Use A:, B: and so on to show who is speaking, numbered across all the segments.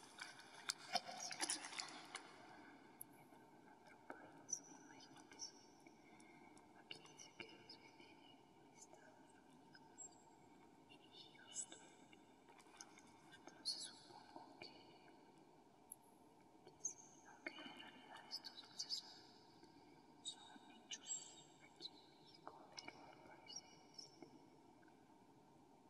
A: Aquí dice que los venden en Estados Unidos, en Houston. Entonces supongo que, sí, aunque en realidad estos dulces son, son hechos aquí en México, pero al parecer este,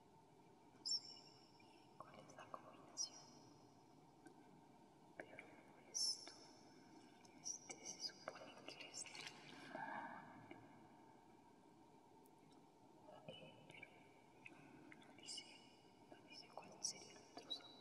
A: No sé bien cuál es la combinación, pero esto este se supone que es eh, pero no, no dice, no dice cuál sería el otro sabor.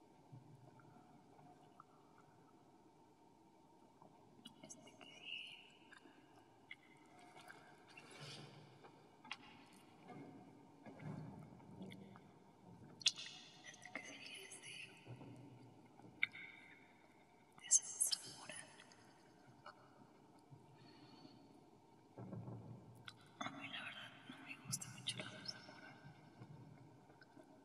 A: Este que es este. Este que es este. Este es Samurai. A mí la verdad, no me gusta mucho el Samurai.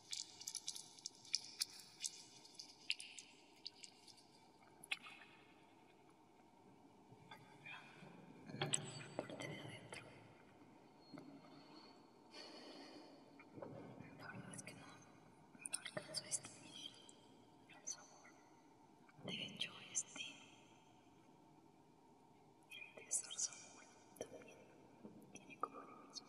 A: Te La verdad es que no, no alcanzo a distinguir sabor. De hecho, este, el de también tiene como el mismo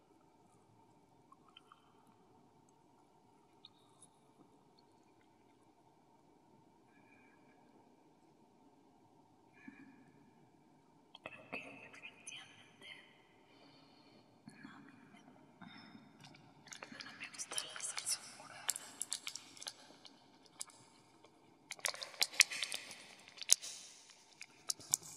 A: Creo que definitivamente no, a mí me, no me gusta la salsa morada.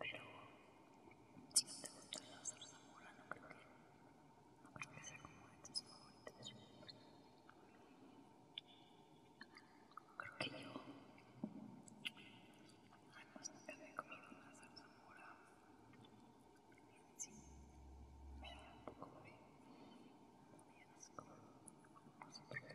A: Pero si no te gusta la zarzamora, no creo que, no creo que sea como de tus favoritos. Creo que yo, además, nunca me comido una zarzamora. Sí, me da un poco de, de asco. No sé por qué.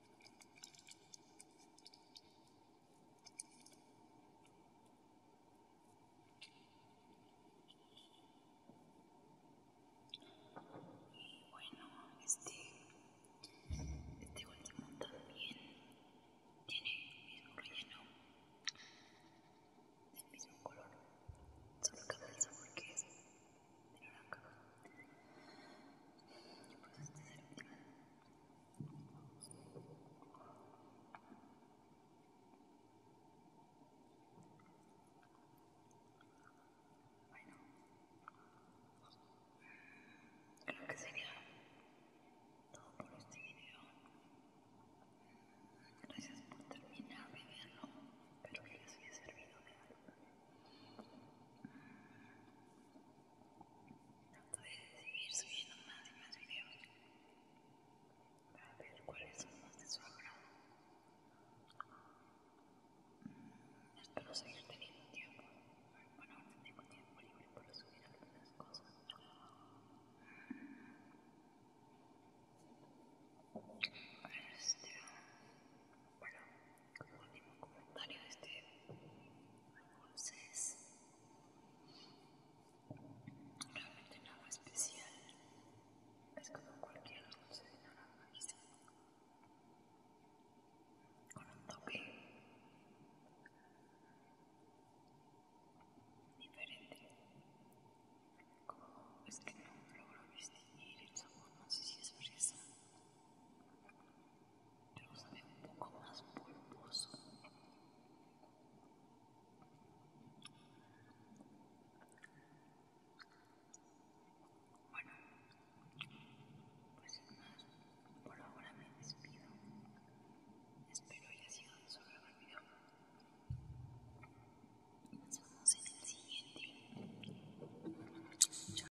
A: Bueno, este, este último también tiene el mismo relleno, del mismo color, solo que el sabor que es bueno Creo que sería todo por este video. Gracias por terminar de verlo. Espero que les haya servido de Puedes seguir subiendo más y más videos para ver cuáles son más de su obra. Espero seguir teniendo tiempo. Bueno, ahora tengo tiempo libre para subir algunas cosas. Bueno, como último comentario este, no realmente nada especial, es como cualquier dulce de naranja con un toque diferente, como es que no logro distinguir el sabor, no sé si es fresa pero sabía un poco más pulposo. Bueno, pues sin más, por ahora me despido. Espero haya sido de su el video. Nos vemos en el siguiente. Chao.